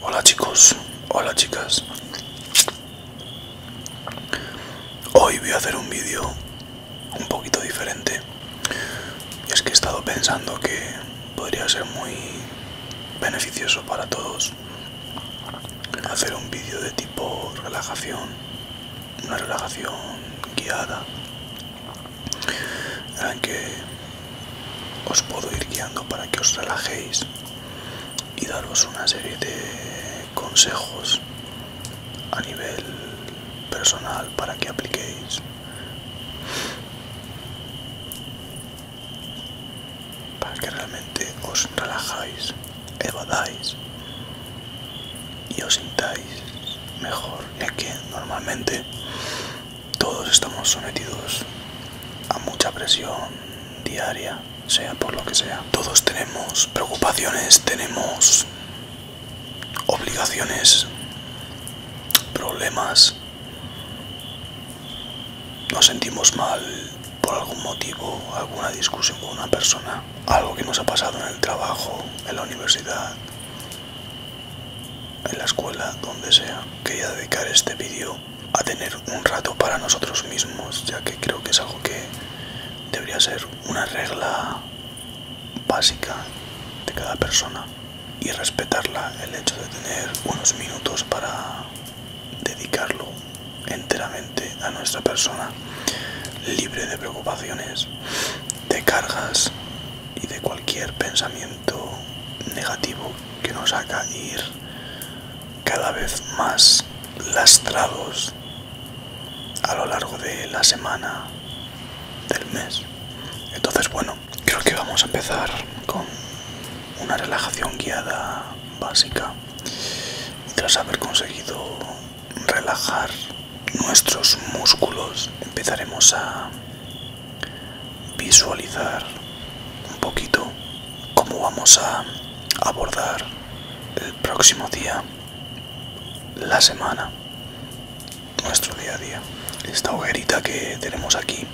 Hola chicos, hola chicas. Hoy voy a hacer un vídeo un poquito diferente. Y es que he estado pensando que podría ser muy beneficioso para todos hacer un vídeo de tipo relajación, una relajación guiada en que os puedo ir guiando para que os relajéis y daros una serie de consejos a nivel personal para que apliquéis para que realmente os relajáis, evadáis y os sintáis mejor, ya que normalmente todos estamos sometidos a mucha presión diaria, sea por lo que sea. Todos tenemos preocupaciones, tenemos obligaciones, problemas nos sentimos mal por algún motivo, alguna discusión con una persona, algo que nos ha pasado en el trabajo, en la universidad, en la escuela, donde sea. Quería dedicar este vídeo a tener un rato para nosotros mismos, ya que creo que es algo que debería ser una regla básica de cada persona y respetarla el hecho de tener unos minutos para dedicarlo enteramente a nuestra persona, libre de preocupaciones, de cargas y de cualquier pensamiento negativo que nos haga ir cada vez más lastrados a lo largo de la semana, del mes. Entonces, bueno, creo que vamos a empezar con una relajación guiada básica tras haber conseguido relajar nuestros músculos empezaremos a visualizar un poquito cómo vamos a abordar el próximo día la semana nuestro día a día esta hoguerita que tenemos aquí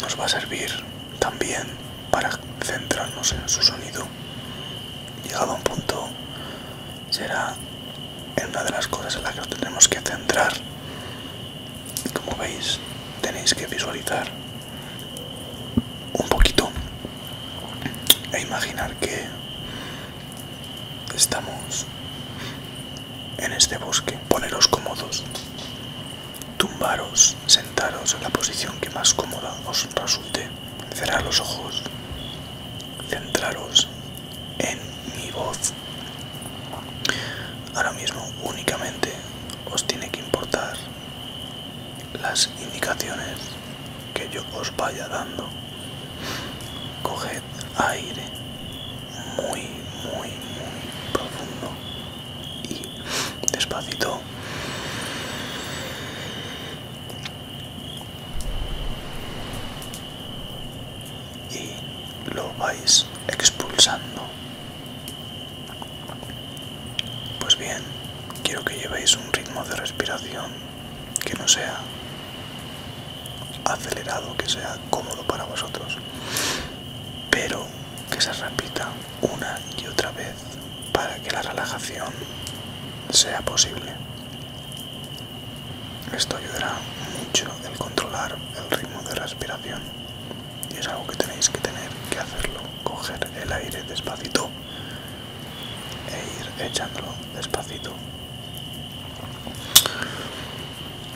nos va a servir también para centrarnos en su sonido. Llegado a un punto, será en una de las cosas en las que nos tendremos que centrar. Como veis, tenéis que visualizar un poquito e imaginar que estamos en este bosque. Poneros cómodos Tumbaros, sentaros en la posición que más cómoda os resulte. Cerrar los ojos. Centraros en mi voz. Ahora mismo únicamente os tiene que importar las indicaciones que yo os vaya dando. Coged aire muy, muy, muy profundo y despacito y lo vais expulsando pues bien quiero que llevéis un ritmo de respiración que no sea acelerado que sea cómodo para vosotros pero que se repita una y otra vez para que la relajación sea posible. Esto ayudará mucho el controlar el ritmo de respiración y es algo que tenéis que tener que hacerlo, coger el aire despacito e ir echándolo despacito.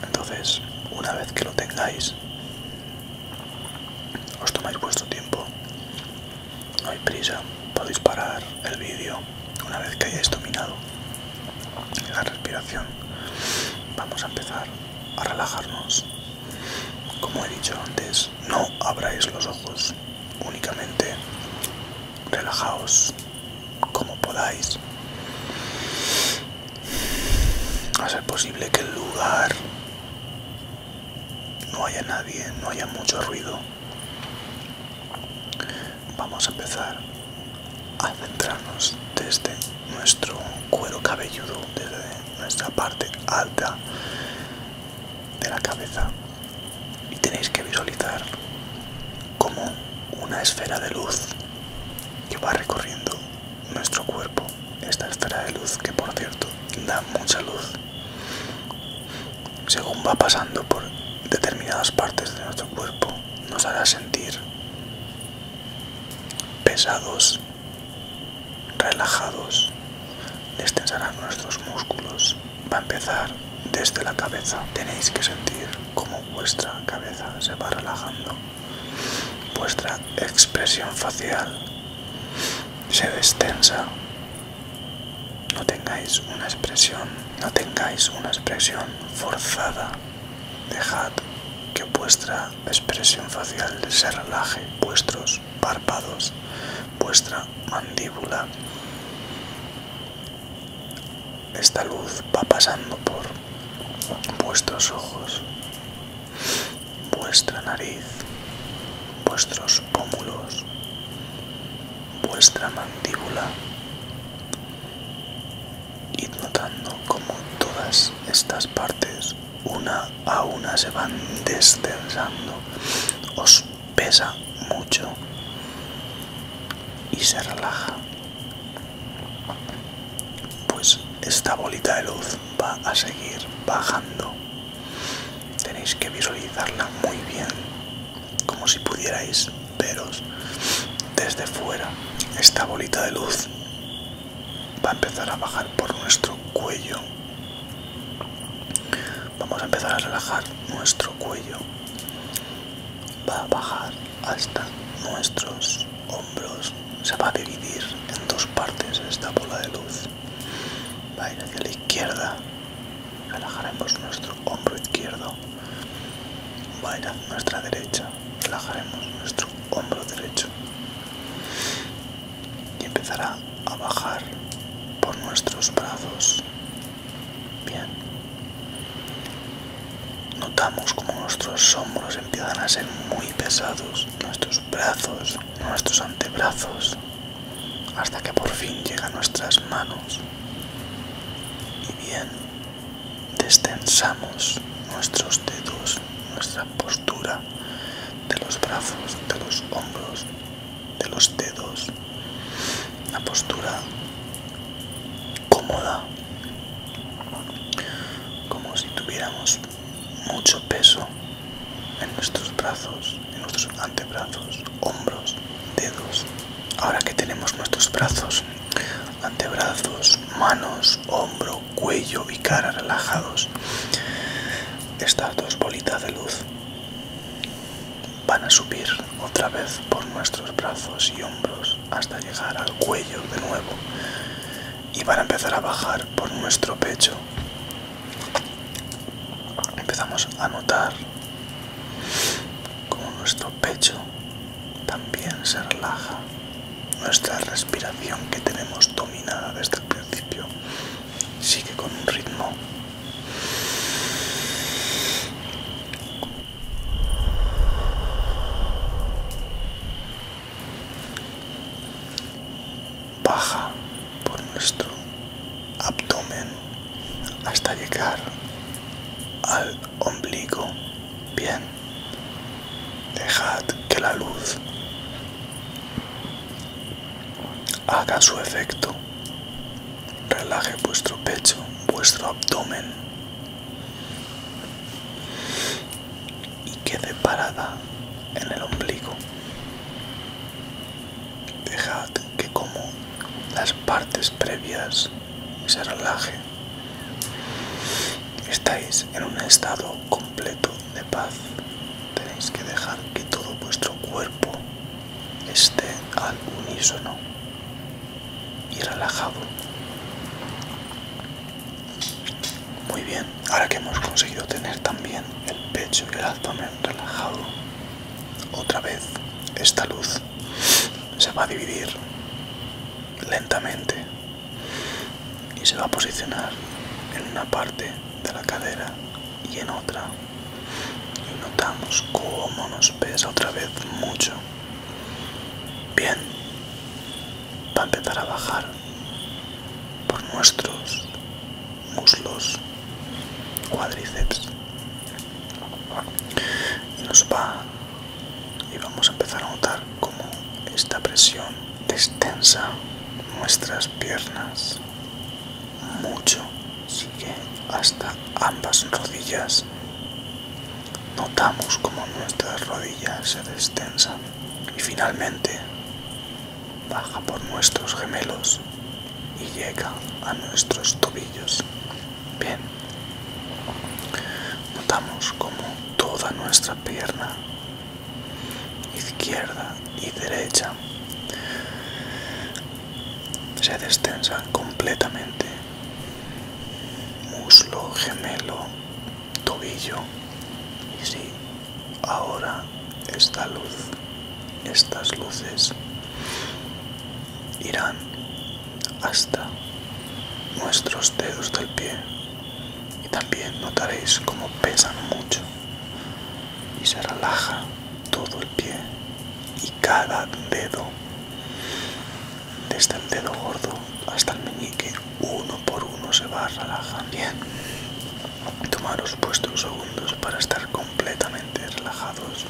Entonces, una vez que lo tengáis, os tomáis vuestro tiempo, no hay prisa, podéis parar el vídeo una vez que hayáis dominado la respiración. Vamos a empezar a relajarnos. Como he dicho antes, no abráis los ojos, únicamente relajaos como podáis a ser posible que el lugar no haya nadie, no haya mucho ruido. Vamos a empezar a centrarnos desde nuestro cuero cabelludo, desde nuestra parte alta de la cabeza. Y tenéis que visualizar como una esfera de luz que va recorriendo nuestro cuerpo esta esfera de luz que por cierto da mucha luz según va pasando por determinadas partes de nuestro cuerpo nos hará sentir pesados relajados destensarán nuestros músculos va a empezar desde la cabeza tenéis que sentir como vuestra cabeza se va relajando Vuestra expresión facial se destensa. No tengáis una expresión, no tengáis una expresión forzada. Dejad que vuestra expresión facial se relaje, vuestros párpados, vuestra mandíbula. Esta luz va pasando por vuestros ojos, vuestra nariz, vuestros pómulos, vuestra mandíbula. y notando como todas estas partes una a una se van descensando. Os pesa mucho y se relaja pues esta bolita de luz va a seguir bajando tenéis que visualizarla muy bien como si pudierais veros desde fuera esta bolita de luz va a empezar a bajar por nuestro cuello vamos a empezar a relajar nuestro cuello va a bajar hasta nuestros hombros se va a dividir en dos partes esta bola de luz. Va a ir hacia la izquierda, relajaremos nuestro hombro izquierdo. Va a ir hacia nuestra derecha, relajaremos nuestro hombro derecho. Y empezará a bajar por nuestros brazos. Bien. Notamos como nuestros hombros empiezan a ser muy pesados, nuestros brazos nuestros antebrazos hasta que por fin llega nuestras manos y bien destensamos nuestros dedos, nuestra postura de los brazos, de los hombros, de los dedos, la postura cómoda, como si tuviéramos mucho peso en nuestros brazos, en nuestros antebrazos, hombros, dedos. Ahora que tenemos nuestros brazos, antebrazos, manos, hombro, cuello y cara relajados, estas dos bolitas de luz van a subir otra vez por nuestros brazos y hombros hasta llegar al cuello de nuevo y van a empezar a bajar por nuestro pecho. Empezamos a notar cómo nuestro pecho también se relaja. Nuestra respiración que tenemos dominada desde el principio sigue con un ritmo baja por nuestro abdomen hasta llegar al ombligo. Bien, dejad que la luz haga su efecto. Relaje vuestro pecho, vuestro abdomen y quede parada en el ombligo. Dejad que como las partes previas se relaje. Estáis en un estado completo de paz. Tenéis que dejar que todo vuestro cuerpo esté al unísono y relajado. Muy bien, ahora que hemos conseguido tener también el pecho y el abdomen relajado, otra vez esta luz se va a dividir lentamente y se va a posicionar en una parte de la cadera y en otra. Y notamos cómo nos pesa otra vez mucho. Bien, va a empezar a bajar por nuestros muslos cuádriceps y nos va y vamos a empezar a notar cómo esta presión extensa nuestras piernas mucho sigue hasta ambas rodillas notamos como nuestras rodillas se destensan y finalmente baja por nuestros gemelos y llega a nuestros tobillos. Bien, notamos como toda nuestra pierna izquierda y derecha se destensa completamente. Muslo, gemelo, tobillo y si ahora esta luz estas luces irán hasta nuestros dedos del pie y también notaréis como pesan mucho y se relaja todo el pie y cada dedo desde el dedo gordo hasta el meñique uno por uno se va relajando bien Tomaros vuestros segundos para estar completamente relajados.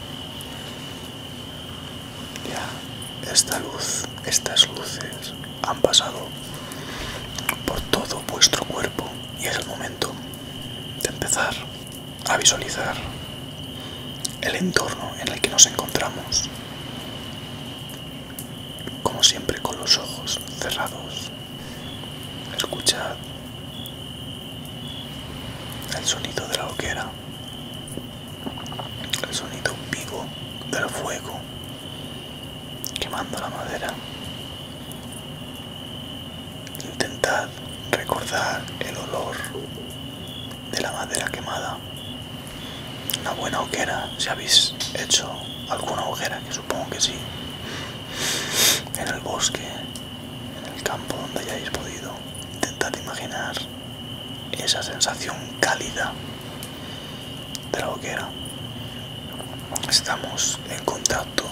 Ya, esta luz, estas luces han pasado por todo vuestro cuerpo y es el momento de empezar a visualizar el entorno en el que nos encontramos, como siempre con los ojos cerrados. Escuchad el sonido de la hoguera, el sonido vivo del fuego quemando la madera. Intentad recordar el olor de la madera quemada. Una buena hoguera, si habéis hecho alguna hoguera, que supongo que sí en el bosque, en el campo donde hayáis podido. intentar imaginar esa sensación cálida de la hoguera. Estamos en contacto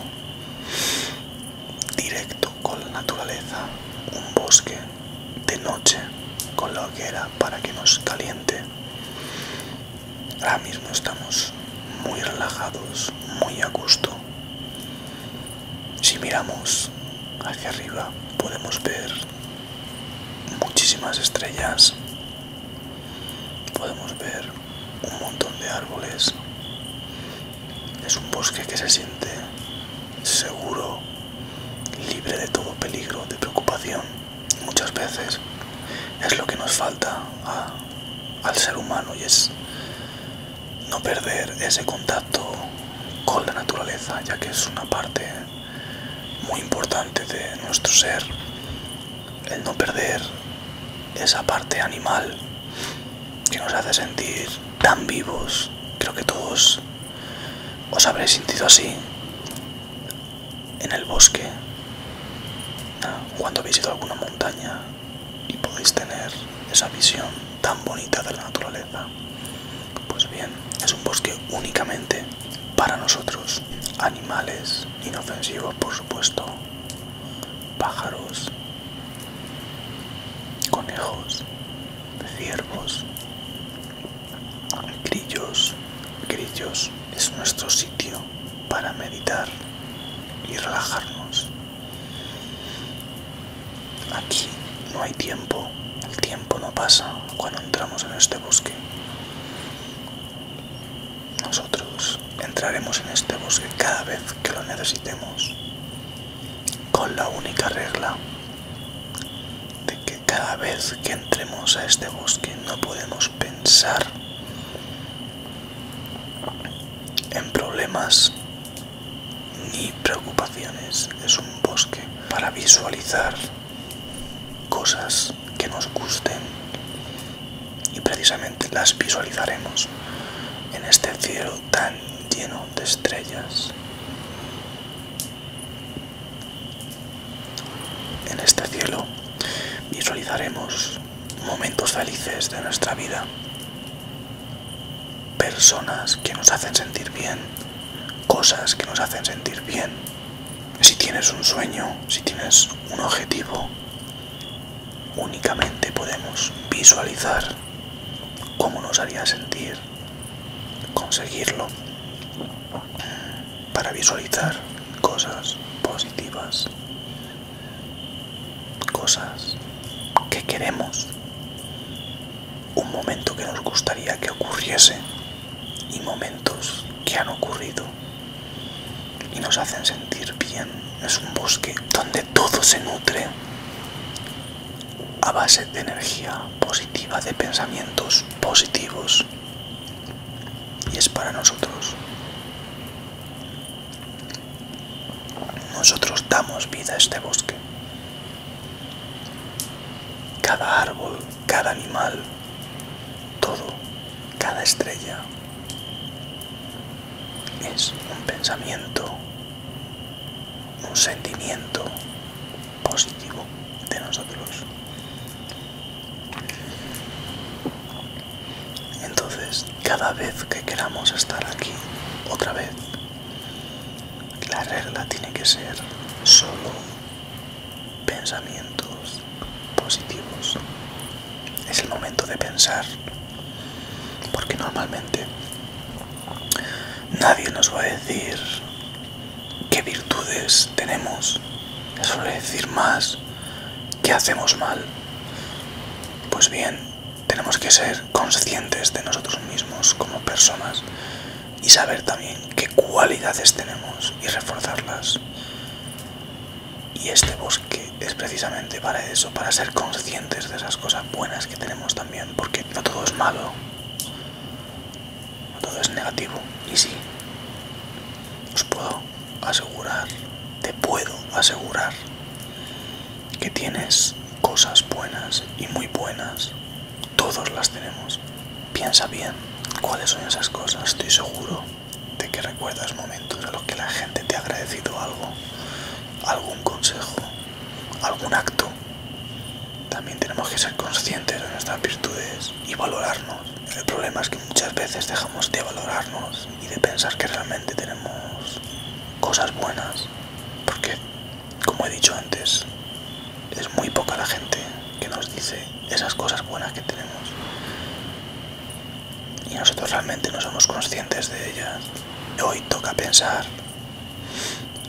directo con la naturaleza, un bosque de noche con la hoguera para que nos caliente Ahora mismo estamos muy relajados, muy a gusto. Si miramos hacia arriba podemos ver muchísimas estrellas, podemos ver un montón de árboles. Es un bosque que se siente seguro, libre de todo peligro, de preocupación. Muchas veces es lo que nos falta a al ser humano y es no perder ese contacto con la naturaleza, ya que es una parte muy importante de nuestro ser, el no perder esa parte animal que nos hace sentir tan vivos. Creo que todos os habréis sentido así en el bosque cuando habéis ido a alguna montaña y podéis tener esa visión tan bonita de la naturaleza. Pues bien, es un bosque únicamente para nosotros. Animales inofensivos, por supuesto. Pájaros. Conejos. Ciervos. Grillos. Grillos es nuestro sitio para meditar y relajarnos. Aquí no hay tiempo, el tiempo no pasa cuando entramos en este bosque. Nosotros entraremos en este bosque cada vez que lo necesitemos, con la única regla de que cada vez que entremos a este bosque no podemos pensar en problemas ni preocupaciones. Es un bosque para visualizar cosas que nos gusten y precisamente las visualizaremos en este cielo tan lleno de estrellas. En este cielo visualizaremos momentos felices de nuestra vida. Personas que nos hacen sentir bien, cosas que nos hacen sentir bien. Si tienes un sueño, si tienes un objetivo, únicamente podemos visualizar cómo nos haría sentir conseguirlo para visualizar cosas positivas cosas que queremos, un momento que nos gustaría que ocurriese y momentos que han ocurrido y nos hacen sentir bien. Es un bosque donde todo se nutre a base de energía positiva, de pensamientos positivos y es para nosotros nosotros damos vida a este bosque. Cada árbol, cada animal, todo, cada estrella es un pensamiento, un sentimiento positivo de nosotros. Entonces, cada vez que queramos estar aquí otra vez, la regla tiene que ser solo pensamientos positivos. Es el momento de pensar, porque normalmente nadie nos va a decir qué virtudes tenemos. nos suele decir más qué hacemos mal pues bien, tenemos que ser conscientes de nosotros mismos como personas y saber también qué cualidades tenemos y reforzarlas. Y este bosque es precisamente para eso, para ser conscientes de esas cosas buenas que tenemos también, porque no todo es malo, no todo es negativo. Y sí, os puedo asegurar, te puedo asegurar que tienes cosas buenas y muy buenas. Todos las tenemos. Piensa bien cuáles son esas cosas. Estoy seguro de que recuerdas momentos en los que la gente te ha agradecido algo, algún consejo, algún acto. También tenemos que ser conscientes de nuestras virtudes y valorarnos. El problema es que muchas veces dejamos de valorarnos y de pensar que realmente tenemos cosas buenas porque como he dicho antes es muy poca la gente que nos dice esas cosas buenas que tenemos y nosotros realmente no somos conscientes de ellas hoy toca pensar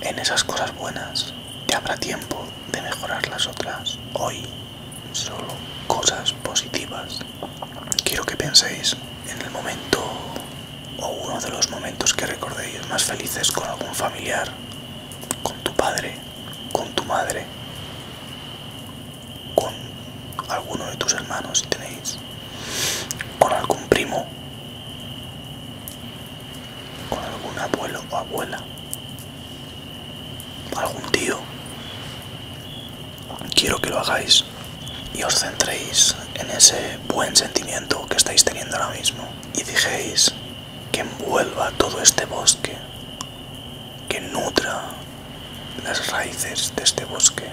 en esas cosas buenas que habrá tiempo de mejorar las otras hoy solo cosas positivas. Quiero que penséis en el momento o uno de los momentos que recordéis más felices con algún familiar, con tu padre, con tu madre, con alguno de tus hermanos si tenéis, con algún primo, con algún abuelo o abuela, algún tío, quiero que lo hagáis y os centréis en ese buen sentimiento que estáis teniendo ahora mismo y dijéis que envuelva todo este bosque, que nutra las raíces de este bosque.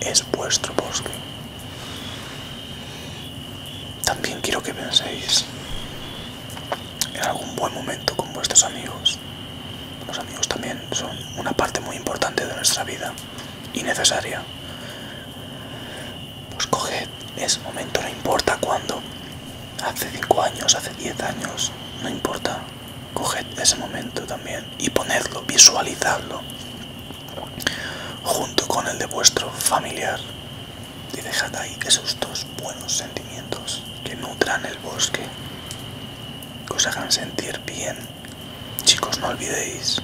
Es vuestro bosque. También quiero que penséis en algún buen momento con vuestros amigos los amigos también son una parte muy importante de nuestra vida y necesaria. Pues coged ese momento, no importa cuándo. Hace 5 años, hace 10 años, no importa. Coged ese momento también y ponedlo, visualizadlo junto con el de vuestro familiar y dejad ahí esos dos buenos sentimientos que nutran el bosque, que os hagan sentir bien Chicos, no olvidéis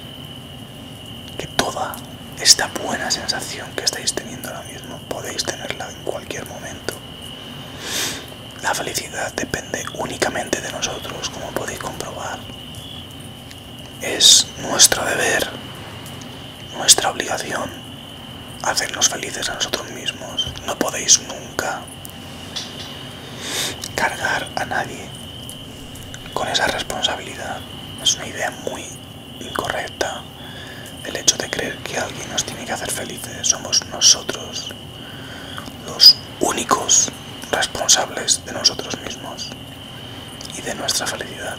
que toda esta buena sensación que estáis teniendo ahora mismo podéis tenerla en cualquier momento. La felicidad depende únicamente de nosotros, como podéis comprobar. Es nuestro deber, nuestra obligación hacernos felices a nosotros mismos. No podéis nunca cargar a nadie con esa responsabilidad. Es una idea muy incorrecta el hecho de creer que alguien nos tiene que hacer felices. Somos nosotros los únicos responsables de nosotros mismos y de nuestra felicidad.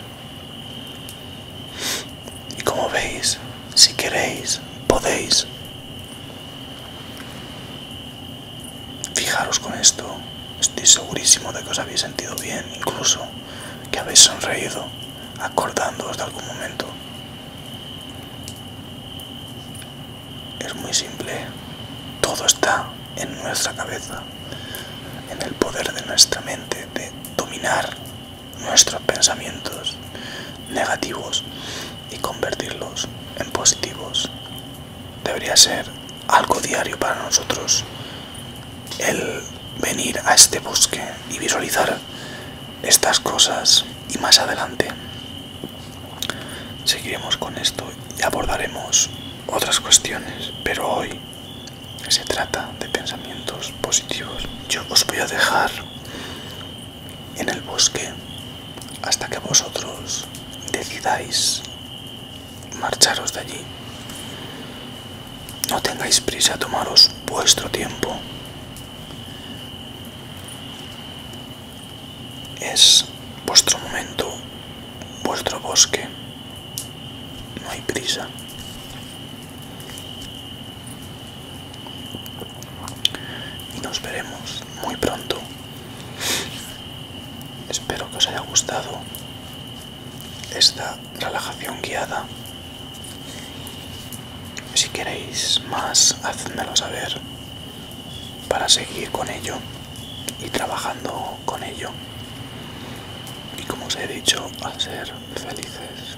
Y como veis, si queréis, podéis Fijaros con esto, estoy segurísimo de que os habéis sentido bien, incluso que habéis sonreído, acordándoos de algún momento. Es muy simple, todo está en nuestra cabeza, en el poder de nuestra mente, de dominar nuestros pensamientos negativos y convertirlos en positivos. Debería ser algo diario para nosotros el venir a este bosque y visualizar estas cosas y más adelante seguiremos con esto y abordaremos otras cuestiones, pero hoy se trata de pensamientos positivos. Yo os voy a dejar en el bosque hasta que vosotros decidáis marcharos de allí. No tengáis prisa, a tomaros vuestro tiempo. Es vuestro momento, vuestro bosque. No hay prisa. Y nos veremos muy pronto. Espero que os haya gustado esta relajación guiada. Si queréis más, hacedmelo saber para seguir con ello y trabajando con ello. Y como os he dicho, a ser felices.